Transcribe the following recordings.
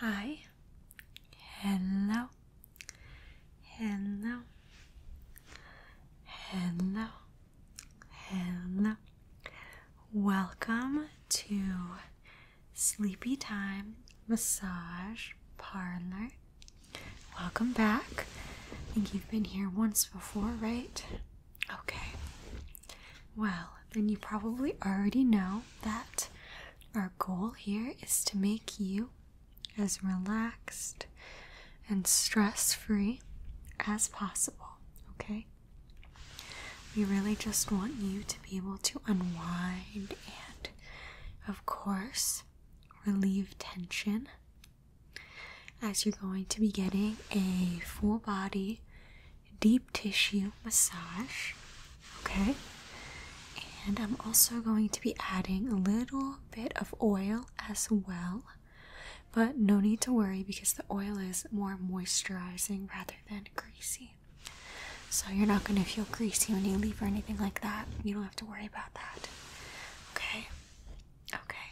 Hi, hello, hello, hello, hello. Welcome to Sleepy Time Massage Parlor. Welcome back. I think you've been here once before, right? Okay. Well, then you probably already know that our goal here is to make you as relaxed and stress free as possible, okay? We really just want you to be able to unwind and, of course, relieve tension as you're going to be getting a full body deep tissue massage. Okay, and I'm also going to be adding a little bit of oil as well, but no need to worry because the oil is more moisturizing rather than greasy. So you're not going to feel greasy when you leave or anything like that. You don't have to worry about that. Okay. Okay.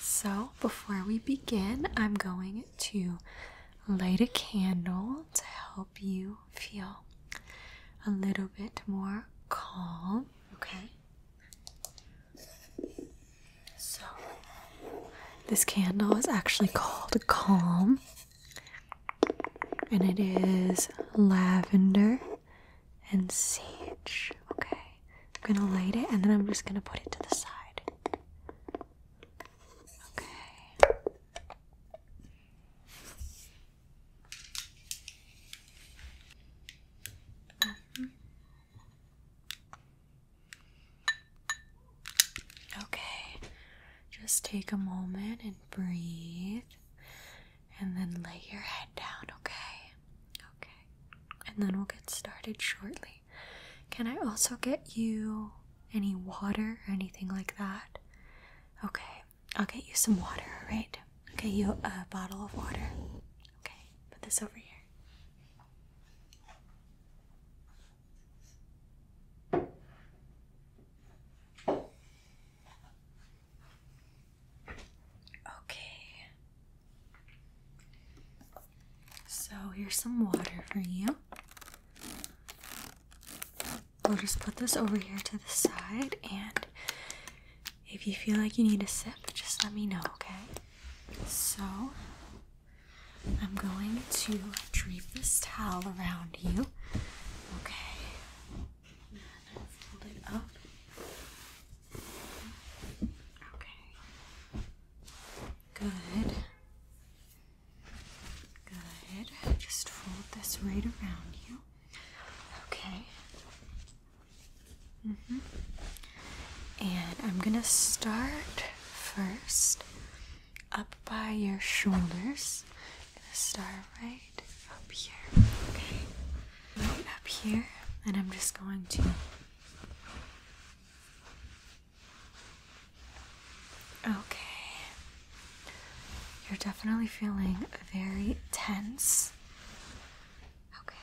So before we begin, I'm going to light a candle to help you feel a little bit more calm, okay? So, this candle is actually called Calm, and it is lavender and sage. Okay, I'm gonna light it and then I'm just gonna put it to the side. Okay, Okay, just take a moment and breathe, and then lay your head down, okay? Okay, and then we'll get started shortly. Can I also get you any water or anything like that? Okay, I'll get you some water, alright? i get you a bottle of water. Okay, put this over here. Okay. So here's some water for you i will just put this over here to the side, and if you feel like you need a sip, just let me know, okay? So, I'm going to drape this towel around you, okay? then fold it up. Okay. Good. Good. Just fold this right around you. Okay. hmm And I'm gonna start first up by your shoulders. i gonna start right up here. Okay. Right up here. And I'm just going to Okay. You're definitely feeling very tense. Okay.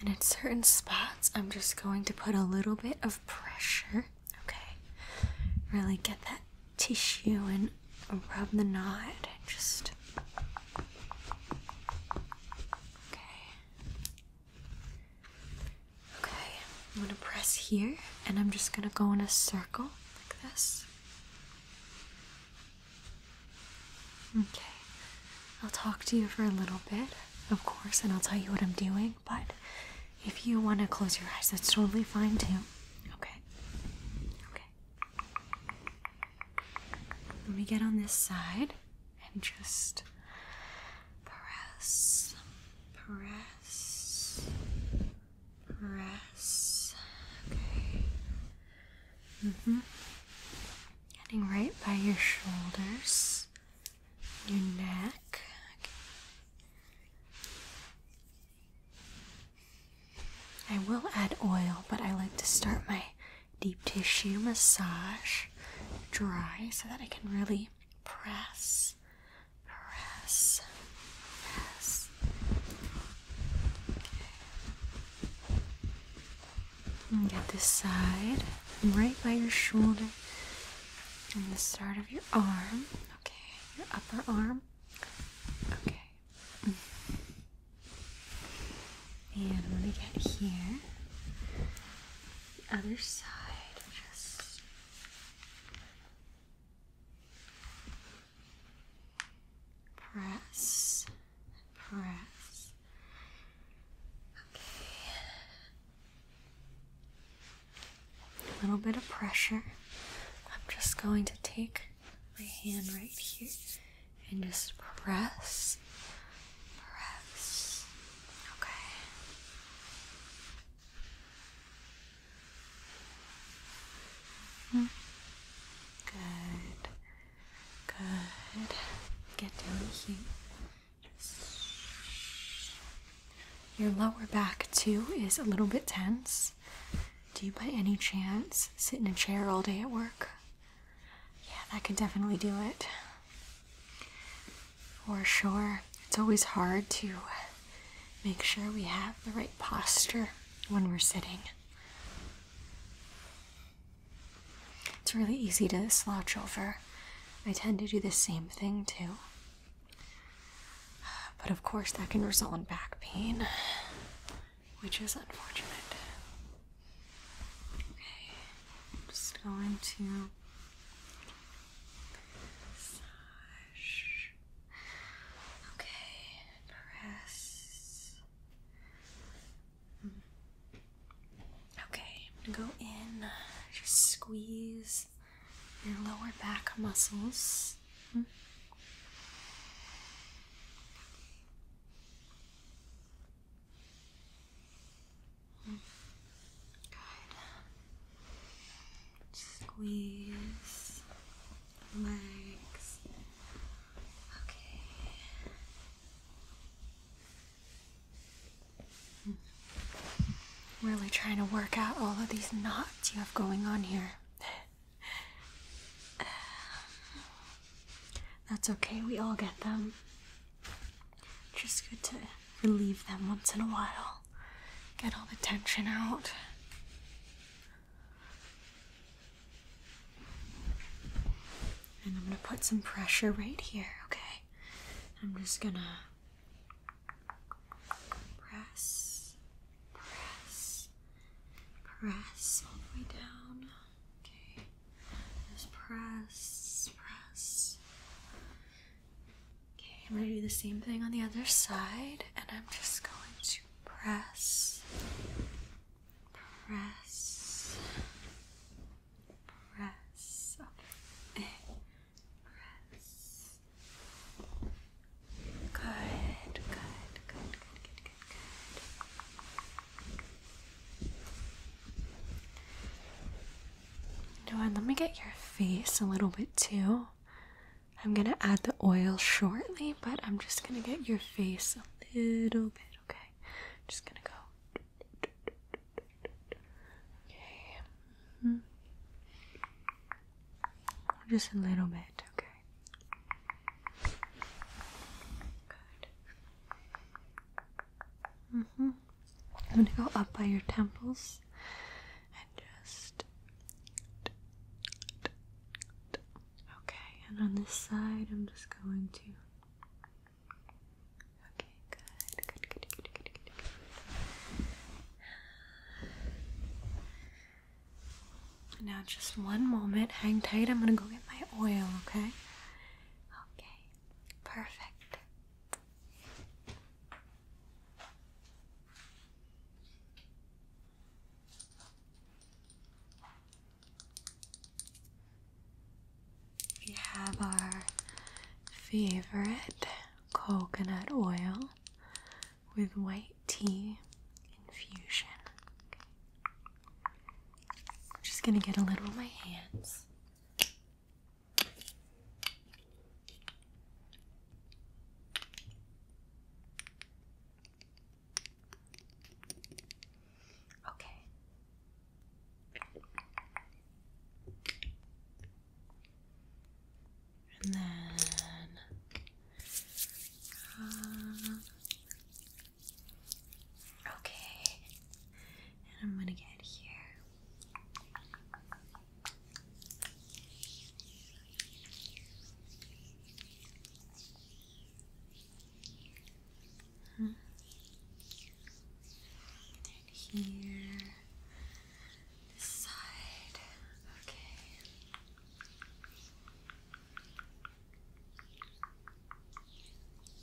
And at certain spots, I'm just going to put a little bit of pressure. Okay. Really get that tissue and rub the knot. Just okay. Okay, I'm gonna press here, and I'm just gonna go in a circle like this. Okay, I'll talk to you for a little bit, of course, and I'll tell you what I'm doing, but if you want to close your eyes, that's totally fine too. Okay. Okay. Let me get on this side and just press, press, press. Okay. Mm-hmm. Getting right by your shoulders, your neck. I will add oil, but I like to start my deep tissue massage dry so that I can really press, press, press. Okay. And get this side right by your shoulder and the start of your arm. Okay, your upper arm. Okay, and when we get here, the other side, just press, press. Okay. A little bit of pressure. I'm just going to take my hand right here and just press, press. Okay. Good. Good. Get down here. Your lower back, too, is a little bit tense. Do you by any chance sit in a chair all day at work? Yeah, that could definitely do it. For sure. It's always hard to make sure we have the right posture when we're sitting. It's really easy to slouch over. I tend to do the same thing too. But of course, that can result in back pain which is unfortunate. Okay, I'm just going to Okay, press. Mm. Okay, I'm gonna go in, just squeeze your lower back muscles. Good. Squeeze legs. Okay. Hmm. really trying to work out all of these knots you have going on here. that's okay, we all get them. Just good to relieve them once in a while, get all the tension out. And I'm gonna put some pressure right here, okay? I'm just gonna press press, press all the way down. Okay, just press, press. Okay, I'm gonna do the same thing on the other side, and I'm just going to press, press, press. Okay. Press. Good, good, good, good, good, good. let me get your face a little bit too. I'm gonna add the oil shortly, but I'm just gonna get your face a little bit, okay? just gonna go. Okay. Mm-hmm. Just a little bit, okay. Good. -hmm. I'm going to go up by your temples and just. Okay, and on this side, I'm just going to. Okay, good, good, good, good, good, good. Now, just one moment. Hang tight. I'm gonna go get my oil, okay? Okay, perfect. We have our favorite coconut oil with white tea infusion. I'm just gonna get a little on my hands. Okay. And then uh, Okay, and I'm gonna get here. Uh -huh. And here, this side. Okay.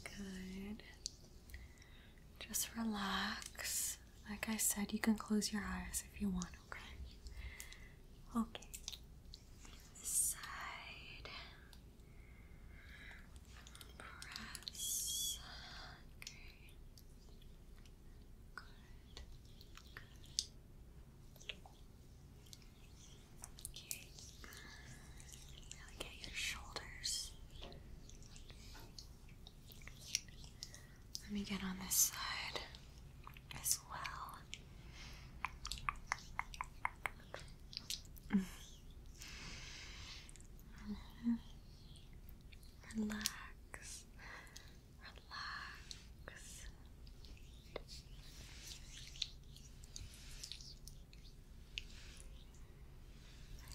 Good. Just relax. Like I said, you can close your eyes if you want, okay? Okay. side. Press. Okay. Good. Good. Okay. Now your shoulders. Let me get on this side as well. Mm-hmm. Relax. Relax.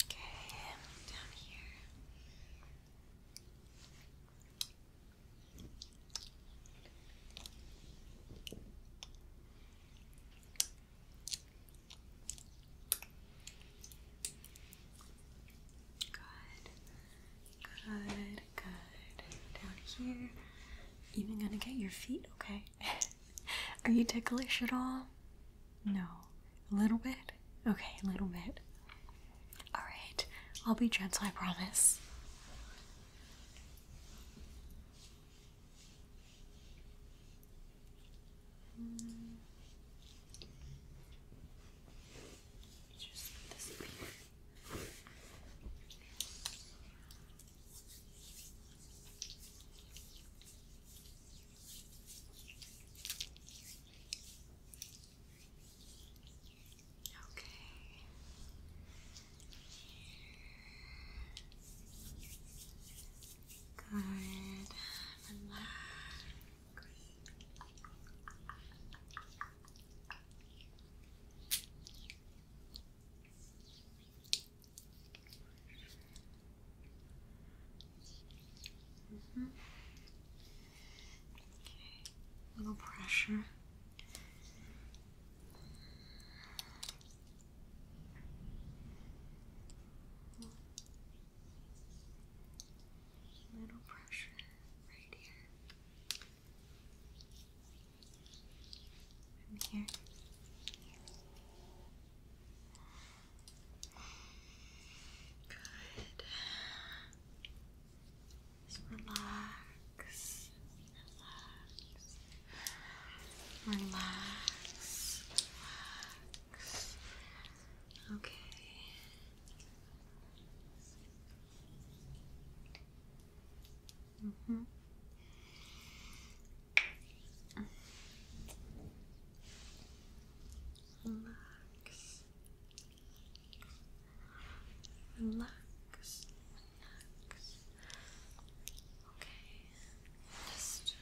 Okay, down here. Good, good, good. Down here even gonna get your feet, okay? Are you ticklish at all? No. A little bit? Okay, a little bit. Alright, I'll be gentle, I promise. Just disappear. Okay. Good. Relax. Mm pressure. Little pressure right here. From here. Good. Just Relax. Relax. Relax. Okay. Mm -hmm. Relax. Relax. Relax. Okay. Just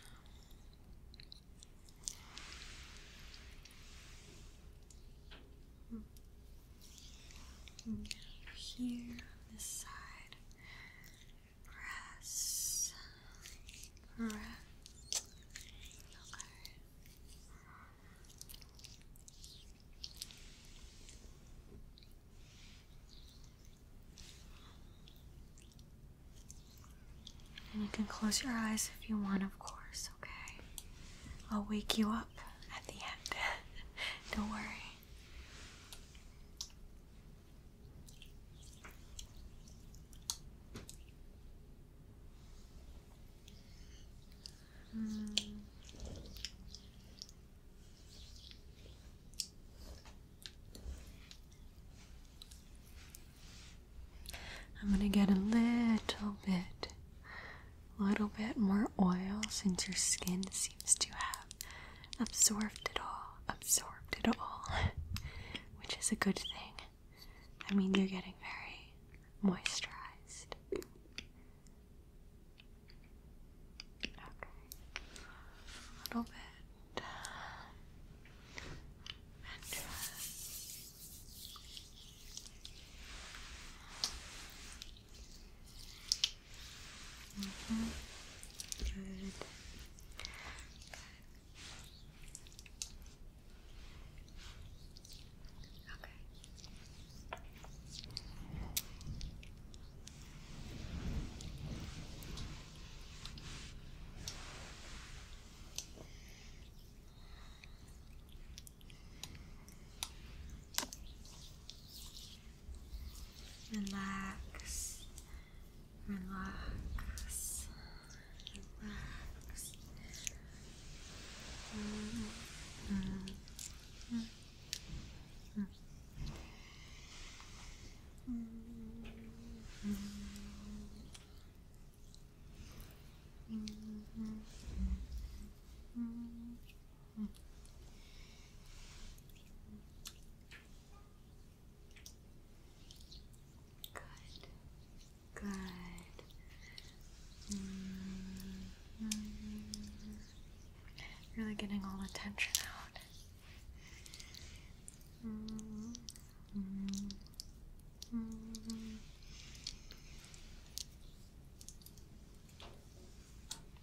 um, here, this side. Press. Press. Okay. And you can close your eyes if you want, of course, okay? I'll wake you up at the end. Don't worry. I'm going to get a little bit, a little bit more oil since your skin seems to have absorbed it all, absorbed it all, which is a good thing. I mean, you're getting very moisturized. Okay, a little bit. Uh, Mm -hmm. Good. Okay. Relax, relax, relax. Mm -hmm. Mm -hmm. Mm -hmm. -hmm. -hmm. Good. Good. Mm-hmm. Really getting all the tension out. Mm -hmm. -hmm.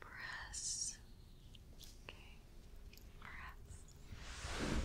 press. Okay, press. Okay.